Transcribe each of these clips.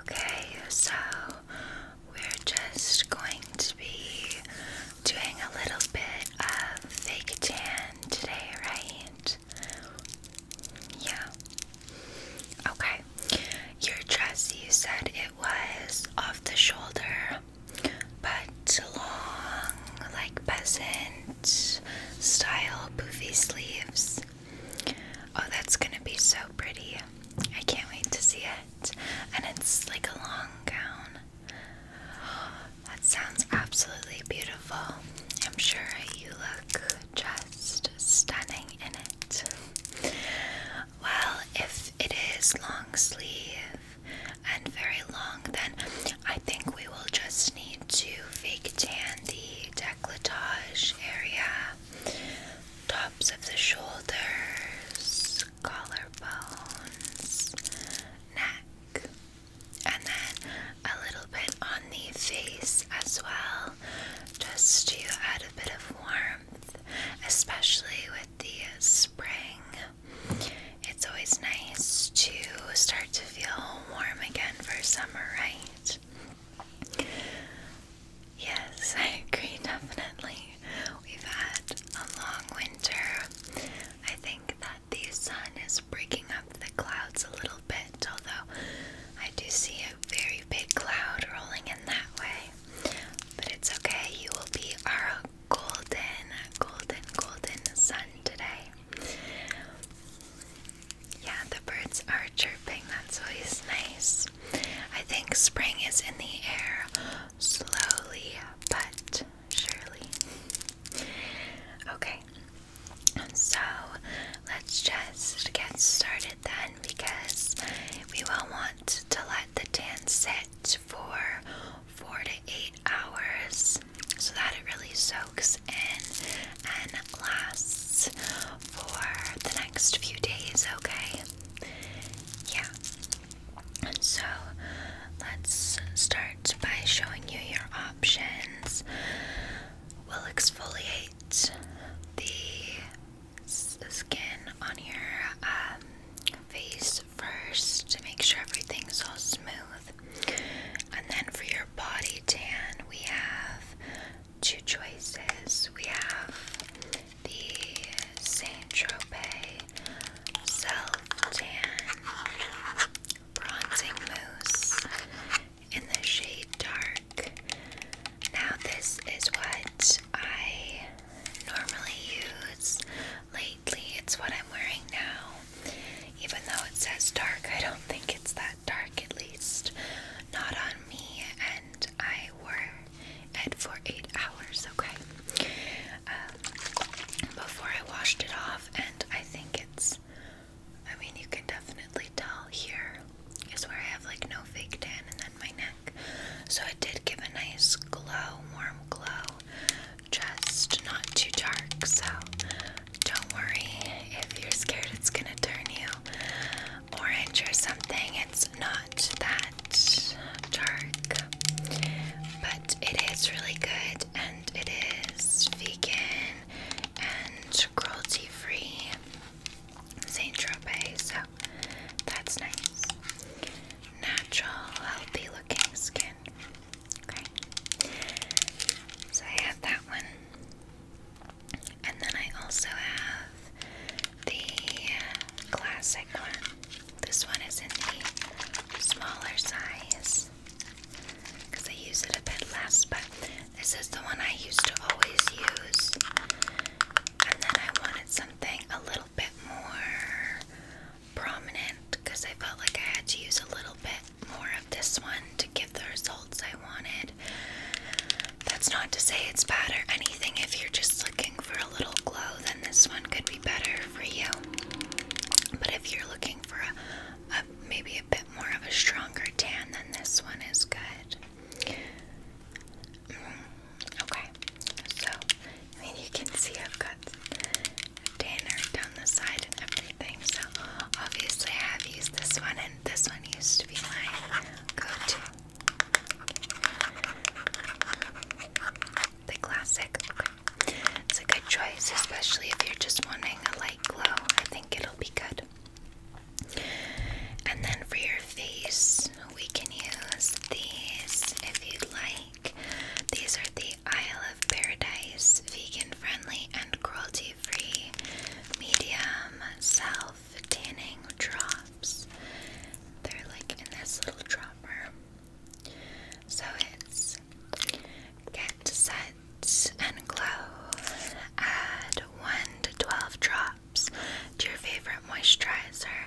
Okay, so we're just going to be doing a little bit of fake tan today, right? Yeah. Okay. Your dress, you said it was off the shoulder, but long, like peasant style poofy sleeves. Oh, that's gonna be so pretty. I can't wait to see it. And it's like a long gown. That sounds absolutely beautiful. I'm sure you look just stunning in it. Well, if it is long sleeve and very long, then I think we will just need to fake tan the decolletage area tops of the shoulders, collarbones, neck, and then a little bit on the face as well, just to add a bit of warmth, especially with the spring. It's always nice to start to feel warm again for summer, right? Yes, I agree, definitely. We've had a long winter. I think that the sun is breaking up the clouds a little bit, although I do see a very big cloud rolling in that way. But it's okay, you will be our golden, golden, golden sun today. Yeah, the birds are chirping, that's always nice. I think spring is in the air slowly but surely. Okay, so let's just get started then because we will want to let the tan sit for four to eight hours so that it really soaks in and lasts for the next few days, okay? Yeah. So let's start by showing you your options. We'll exfoliate the skin on your um, face first to make sure everything's all smooth. And then for your body tan, we have two choices. We have the Saint Tropez Self Tan Bronzing Mousse in the shade Dark. Now, this is what I normally use lately, it's what I'm wearing now. Even though it says dark, I don't think it's that dark, at least not on me. I wore it for eight hours, okay? Um, before I washed it off, and I think it's, I mean, you can definitely tell here is where I have like no fake tan and then my neck. So it did give a nice glow, warm glow, just not too dark. So don't worry if you're scared it's gonna turn you orange or something. It's not that dark, but it is really good and it is vegan and cruelty free. Saint Tropez, so that's nice. Natural, healthy looking skin. Okay. So I have that one. And then I also have the classic one. This one is in the smaller size because I use it a bit less, but this is the one I used to always use. And then I wanted something a little bit more prominent because I felt like I had to use a little bit more of this one to get the results I wanted. That's not to say it's bad or anything. If you're just looking for a little glow, then this one could be better for you. But if you're looking for a, maybe a bit more of a stronger tan, then this one is good. Mm, okay, so I mean you can see I've got tanner down the side and everything. So obviously I have used this one, and this one used to be my go-to. The classic. It's a good choice, especially if you're just wanting a light glow. I think it'll be good. And then for your face, we can use these if you'd like. These are the Isle of Paradise vegan friendly and cruelty free medium self self tanning drops. They're like in this little dropper. So it's get set and glow. Add 1 to 12 drops to your favorite moisturizer.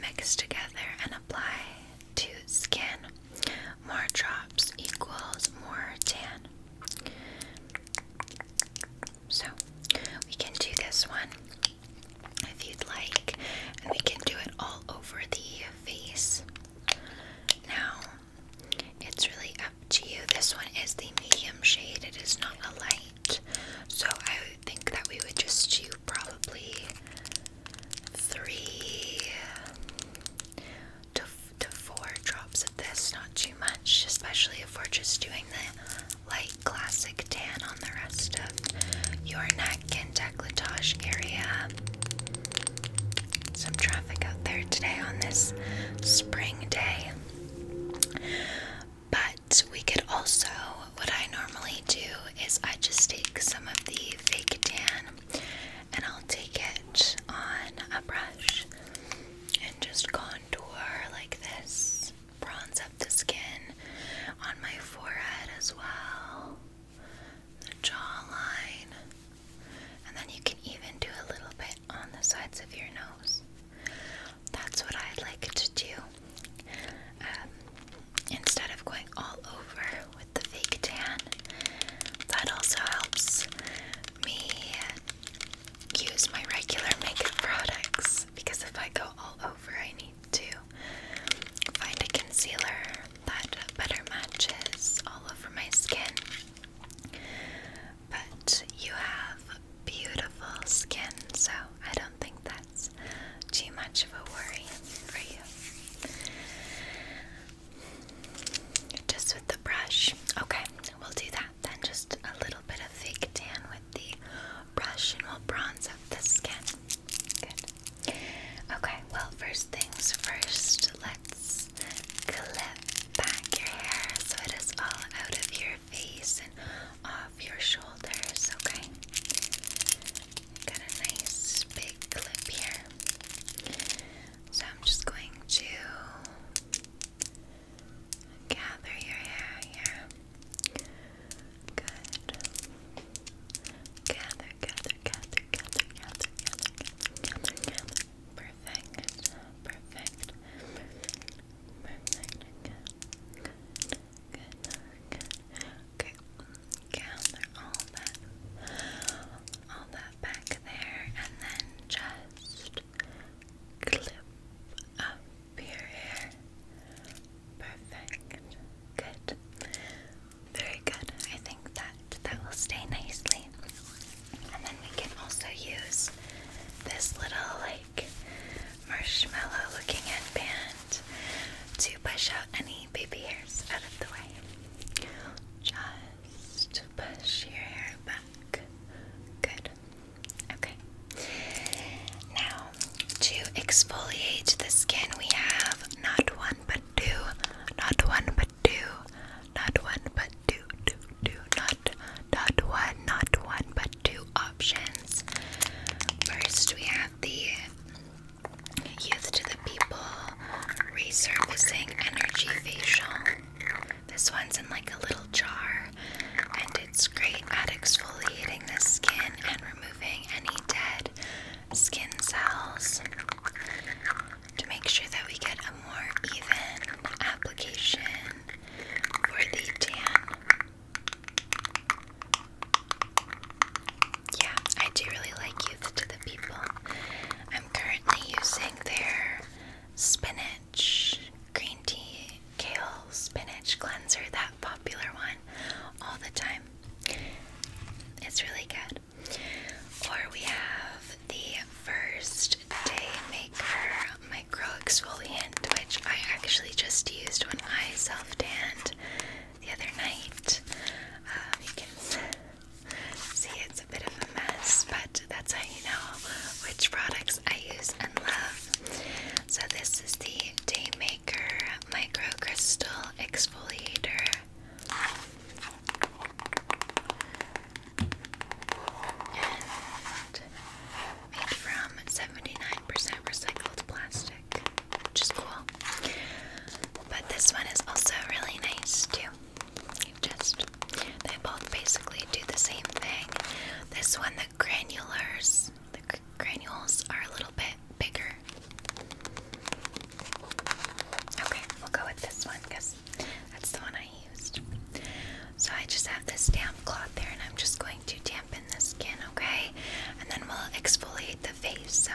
Mix together and apply to skin. More drops equals more tan. So we can do this one if you'd like, and we can do it all over the face. Now, it's really up to you. This one is the medium shade, it is not a light. So I think that we would just do probably three to, to four drops of this, not you much, especially if we're just doing the light classic tan on the rest of your neck and decolletage area. Some traffic out there today on this spring day. But we could also, what I normally do is I just take some of the fake tan and I'll take it on a brush and just contour like this bronze up the skin on my forehead as well, the jawline, and then you can even do a little bit on the sides of your nose. That's what I'd like to do. Um, instead of going all over with the fake tan, that also helps me use my regular makeup products because if I go all over, I need to find a concealer that better matches all over my skin. But you have beautiful skin, so I don't think that's too much of a worry for you. Just with the brush. Okay, we'll do that then just a little bit of fake tan with the brush and we'll bronze up the skin. Okay, well, first things first, let's clip back your hair so it is all out of your face and off your shoulders, okay? Got a nice big clip here. So I'm just going to Gather your hair here. Good. Gather, gather, gather, gather, gather, gather, gather, gather. Perfect. Perfect. Perfect. Good. Good. Okay. Gather all that all that back there and then just clip up your hair. Perfect. Good. Very good. I think that that will stay nicely. And then we can also use this little like marshmallow looking headband to push out any baby hairs out of the way. Just push your hair back. Good. Okay. Now, to exfoliate the skin, we have not one but two, not one but two, not one but two, two, two, not, not one, not one but two options. First, we have the Youth to the People Resurfacing Energy Facial. This one's in like a little jar and it's great at exfoliating the skin and removing any dead skin cells to make sure that we get a more even application for the tan. Yeah, I do really like Youth to the People. I'm currently using their spinach green tea, kale, spinach cleanser, that popular one all the time. It's really good. Or we have the First Day Maker Micro Exfoliant, which I actually just used when I self tanned the other night. Um, you can see it's a bit of a mess, but that's how you know which products I use and love. So this is the Daymaker Microcrystal Exfoliator. made from 79% recycled plastic, which is cool. But this one is also really nice too. just, they both basically do the same thing. This one, the granulars, the granules are a little bit bigger. Okay, we'll go with this one because that's the one I used. So I just have this damp cloth there and I'm just going to dampen the skin, okay? And then we'll exfoliate the face. So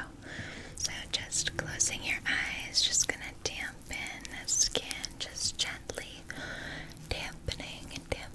so just closing your eyes, just gonna dampen the skin just gently. Dampening and dampening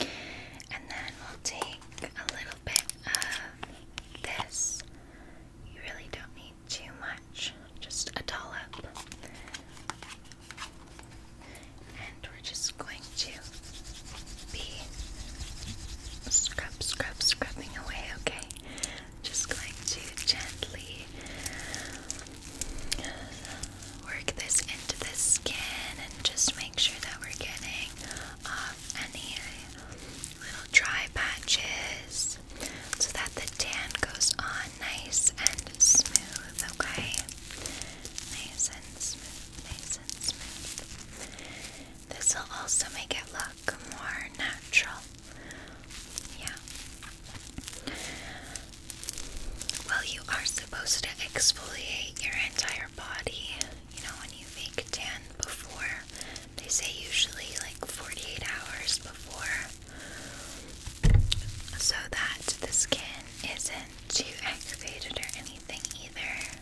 And then we'll take a little bit of this. You really don't need too much, just a dollop. And we're just going to be scrub, scrub, scrubbing away, okay? Just going to gently work this into the skin and just make sure that we're getting off um, any little dry patches so that the tan goes on nice and smooth, okay? Nice and smooth, nice and smooth. This will also make it look more natural. Yeah. Well, you are supposed to exfoliate your entire body you know, when you fake tan before, they say usually like 48 hours before so that the skin isn't too aggravated or anything either.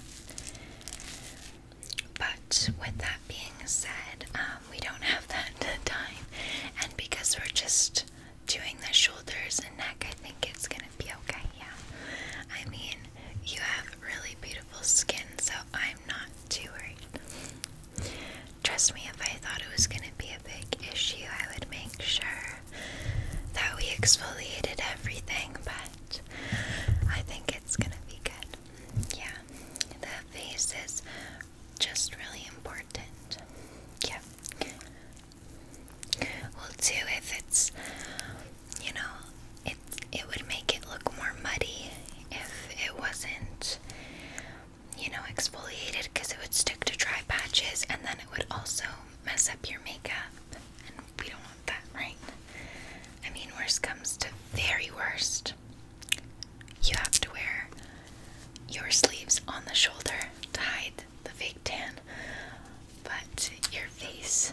But with that being said, um, we don't have that time, and because we're just doing the shoulders and neck, I think it's gonna be okay, yeah. I mean, you have really beautiful skin, so I'm not too worried. Trust me, if I thought it was gonna be a big issue, I would make sure that we exfoliated everything, but I think it's gonna be good. Yeah, the face is just really important. Yeah. will do if it's you know, it it would make it look more muddy if it wasn't, you know, exfoliated because it would stick to dry patches and then it would also mess up your makeup. And we don't want that, right? I mean, worst comes to very worst. You have to wear your sleeves on the shoulder to hide the fake tan, but your face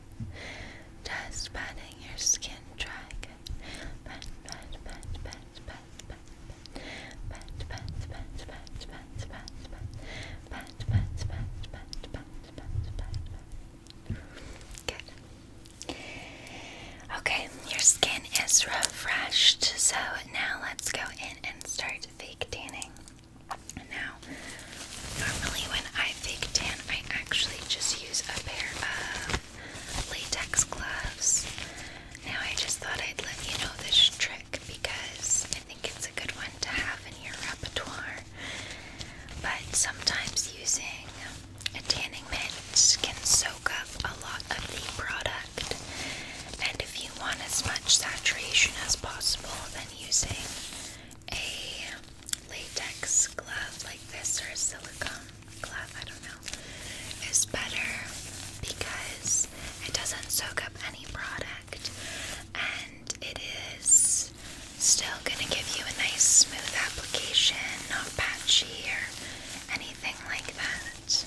Just patting your skin dry. Good. Pat, pat, pat, pat, pat, pat, pat, pat, pat, pat, pat, pat, pat, pat, pat, pat, pat, pat, pat, pat. Good. Okay, your skin is refreshed, so now let's go in and start fake tanning. Now, normally when I fake tan, I actually just use a pair of latex gloves. Now, I just thought I'd let you know this trick because I think it's a good one to have in your repertoire. But sometimes using a tanning mitt can soak up a lot of the product. And if you want as much saturation as possible, then using a latex glove like this or silicone glove, I don't know, is better because it doesn't soak up any product and it is still gonna give you a nice smooth application, not patchy or anything like that.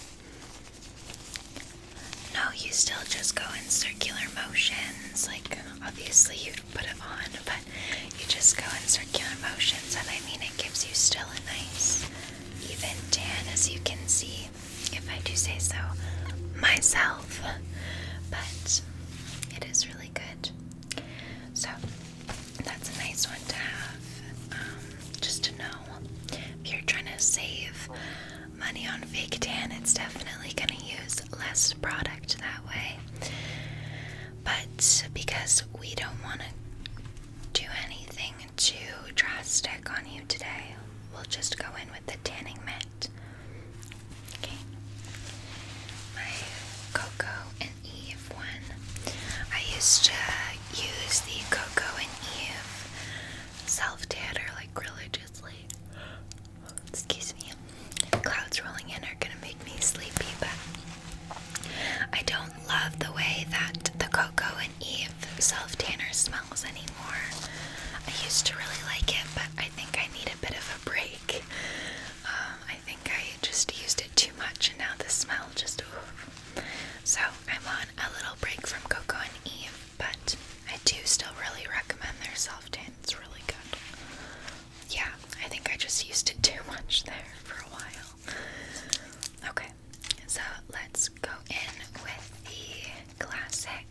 No, you still just go in circular motions. Like, obviously, you put it on, but you just go in circular motions, and I mean, it gives you still a nice, even tan, as you can see, if I do say so myself. But it is really good. So that's a nice one to have, um, just to know if you're trying to save money on fake tan. It's definitely gonna use less product that way. But because we don't want to do anything too drastic on you today, we'll just go in with the tanning mitt. Okay. My Cocoa and Eve one. I used to use the Coco and Eve self tanner like religiously excuse me, clouds rolling in are gonna make me sleepy, but I don't love the way that the Coco and Eve self tanner smells anymore. I used to really like it, but I think I need a bit of a break. Um, I think I just used it too much, and now the smell just. So I'm on a little break from Coco and Eve, but I do still really recommend their self tan. It's really good yeah, I think I just used it too much there for a while. Okay, so let's go in with the classic.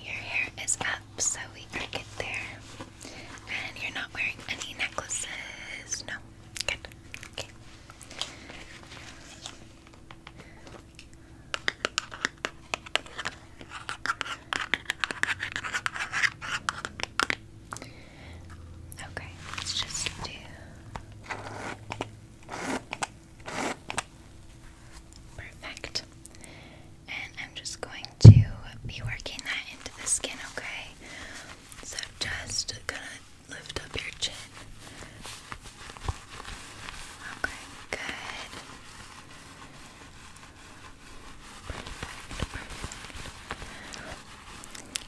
Your hair is up, so we are good there. And you're not wearing any necklaces. No. Good. Okay. Okay, let's just do. Perfect. And I'm just going to be working that into the skin, okay? So just gonna lift up your chin. Okay, good.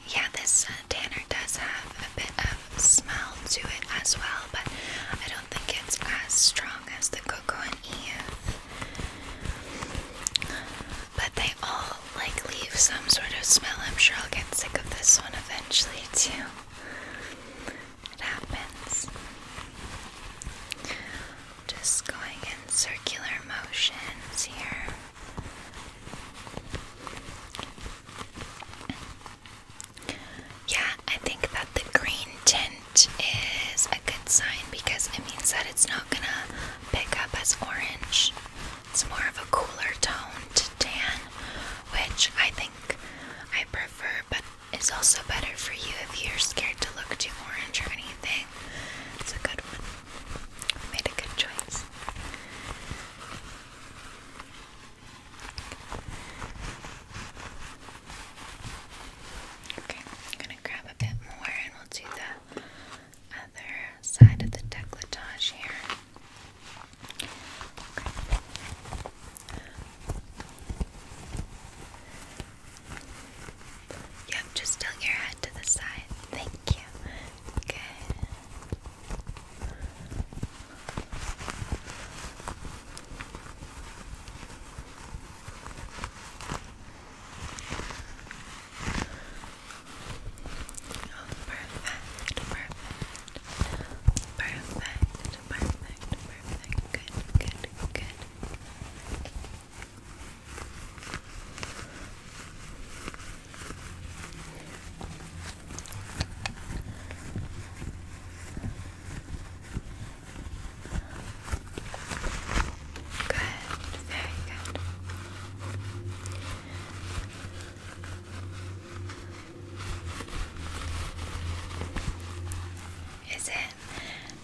Yeah, this uh, tanner does have a bit of smell to it as well, but I don't think it's as strong as the Cocoa and Eve. But they all like leave some sort of smell. I'm sure I'll get sick of this one eventually too. It happens. Just going in circular motions here. Yeah, I think that the green tint is a good sign because it means that it's not gonna pick up as orange. It's more of a cooler tone to tan, which I think I prefer, but it's also better for you if you're scared to look too orange or anything. It's a good one. made a good choice. Okay, I'm gonna grab a bit more and we'll do the other side of the decolletage here. Yep, just tilt your head to the side. Thank you. Good. perfect, perfect, perfect, perfect, perfect. Good, good, good. Good, very good. Is it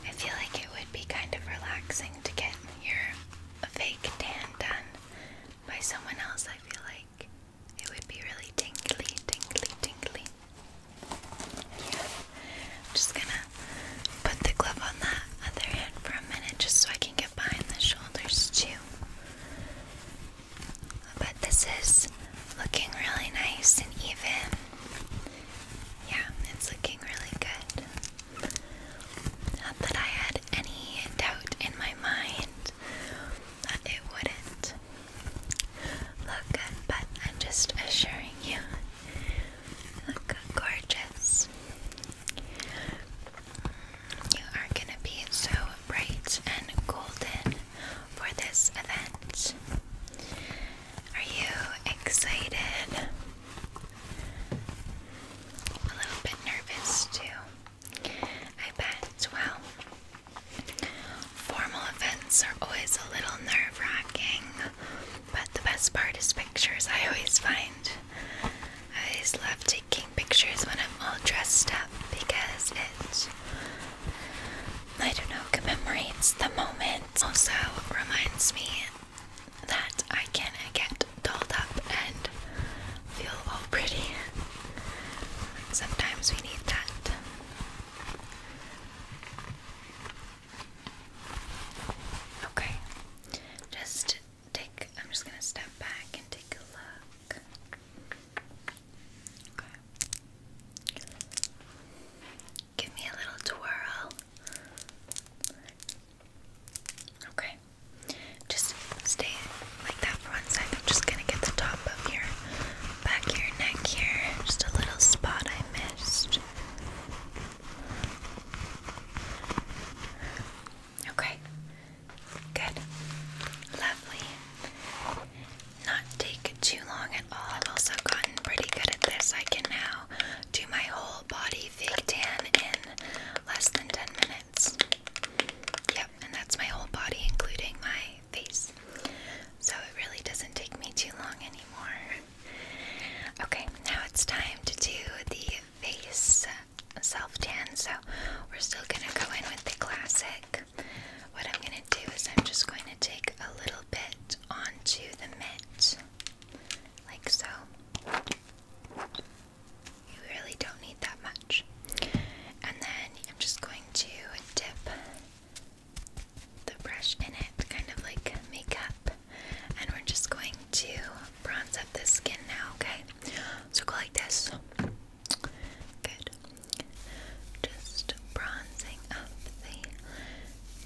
I feel like it would be kind of relaxing to get your fake tan done by someone else. I feel like it would be really tingly, tingly, tingly. Yeah. I'm just gonna put the glove on that other hand for a minute just so I can get behind the shoulders too. But this is looking really nice and even. Yeah, it's looking really good. Not that I had any doubt in my mind that it wouldn't look good, but I'm just assuring you, look gorgeous. You are gonna be so bright and golden for this event. Are you excited? A little bit nervous too. I bet. Well, formal events are always a little nerve wracking, but the best part is pictures, I always find. I always love taking pictures when I'm all dressed up because it, I don't know, commemorates the moment also reminds me that I can get dolled up and feel all pretty. Sometimes we need that. Okay, just take, I'm just gonna step back and take a look. Give me a little twirl. Okay. Just stay like that for one just gonna get the top of your back your neck here. Just a little spot I missed. Okay. Good. Lovely. Not take too long at all. I've also gotten pretty good at this. I can now now do my whole body fake tan in less than 10 minutes. Yep, and that's my whole body, including my face. So it really doesn't take me too long anymore. Okay, now it's time to do the face self tan. So we're still gonna go in with the classic. What I'm gonna do is I'm just going to take a little bit onto the mitt, like so. You really don't need that much. And then I'm just going to dip the brush in it, kind of like makeup. And we're just going to bronze up the skin now, okay? So go like this. Good. Just bronzing up the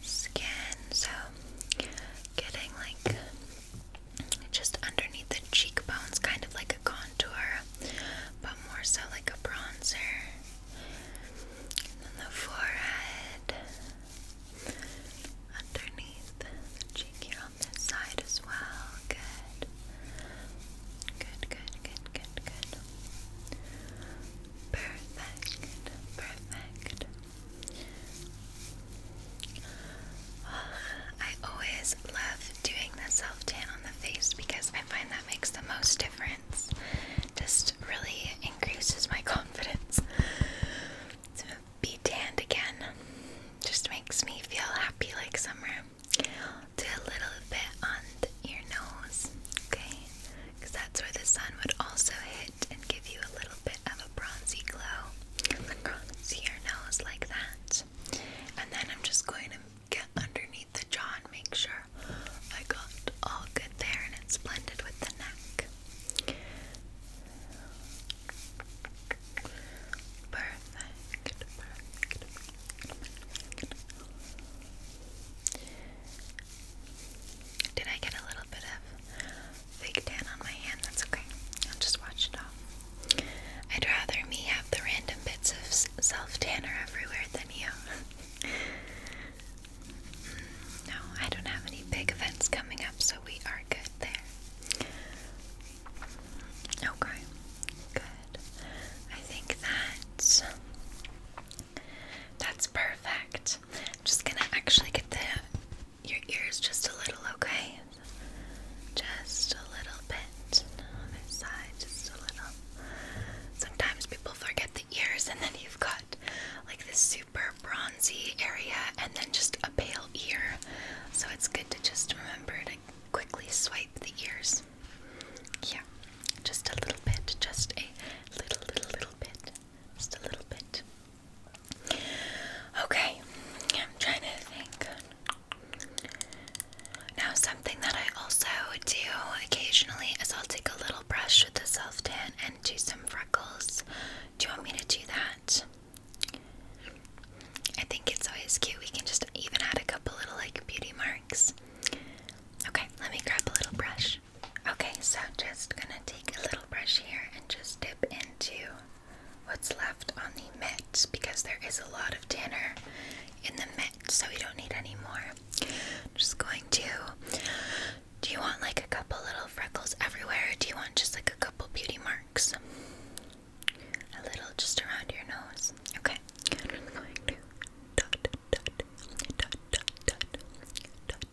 skin, so getting like just underneath the cheekbones, kind of like a contour, but more so like a bronzer. And the forehead, underneath the cheek here on this side as well. Good. Good, good, good, good, good. Perfect, perfect. I always love doing the self tan on the face because I find that makes the most difference. Just really increases my confidence. To be tanned again just makes me feel happy like summer. Do a little bit on your nose, okay? because that's where the sun would also hit and give you a little bit of a bronzy glow across your nose like that. And then I'm just going to get underneath the jaw and make sure I got all good there and it's blended with the neck. perfect. Did I get a little bit of fake tan on my hand? That's okay. I'll just wash it off. I'd rather me have the random bits of self tanner everywhere than you. Hmm, no, I don't have any big events coming up, so we are good there. Okay, good. I think that's. That's perfect just gonna actually get the your ears just a little, okay? Just a little bit on this side, just a little. Sometimes people forget the ears, and then you've got like this super bronzy area, and then just a pale ear. So it's good to just remember to quickly swipe the ears. Yeah, just a little bit, just a little, little, little bit. Just a little bit. Okay, I'm trying to think. Now, something that I also do occasionally is I'll take a little brush with the self tan and do some freckles. Do you want me to do that? I think it's always cute. We can just even add a couple little like beauty marks. Okay, let me grab a little brush. Okay, so just gonna take a little brush here and just dip into what's left on the mitt because there is a lot of tanner in the mitt, so we don't need any more. Just going to. Do you want like a couple little freckles everywhere, or do you want just like a couple beauty marks? A little just around your nose. Okay. I'm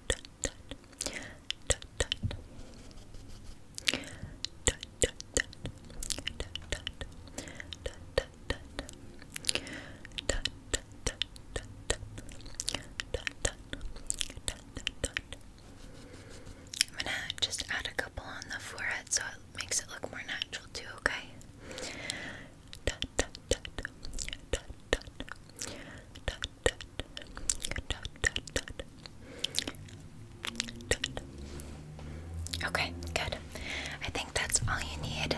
gonna just add a couple on the forehead so it makes it look more natural too, okay? Okay, good. I think that's all you need.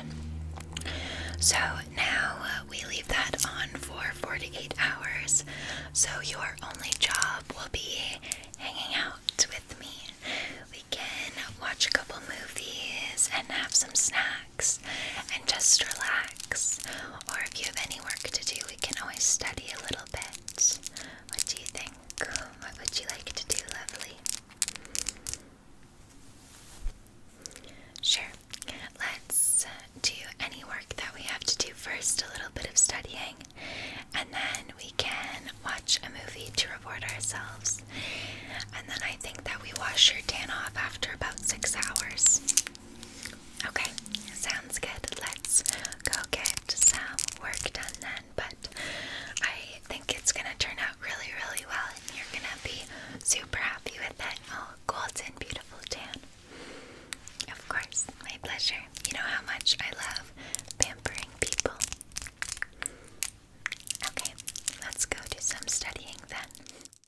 So now uh, we leave that on for 48 hours. So your only job will be hanging out with me. We can watch a couple movies and have some snacks and just relax. Or if you have any work to do, we can always study a little bit. What do you think? What would you like to do, lovely? Sure. Let's uh, do any work that we have to do first, a little bit of studying, and then we can watch a movie to reward ourselves. And then I think that we wash your tan off after about six hours. Okay, sounds good. Let's go get some work done then. But I think it's gonna turn out really, really well, and you're gonna be super happy with it. Oh, golden, beautiful tan. Of course, my pleasure. You know how much I love pampering people. Okay, let's go do some studying then.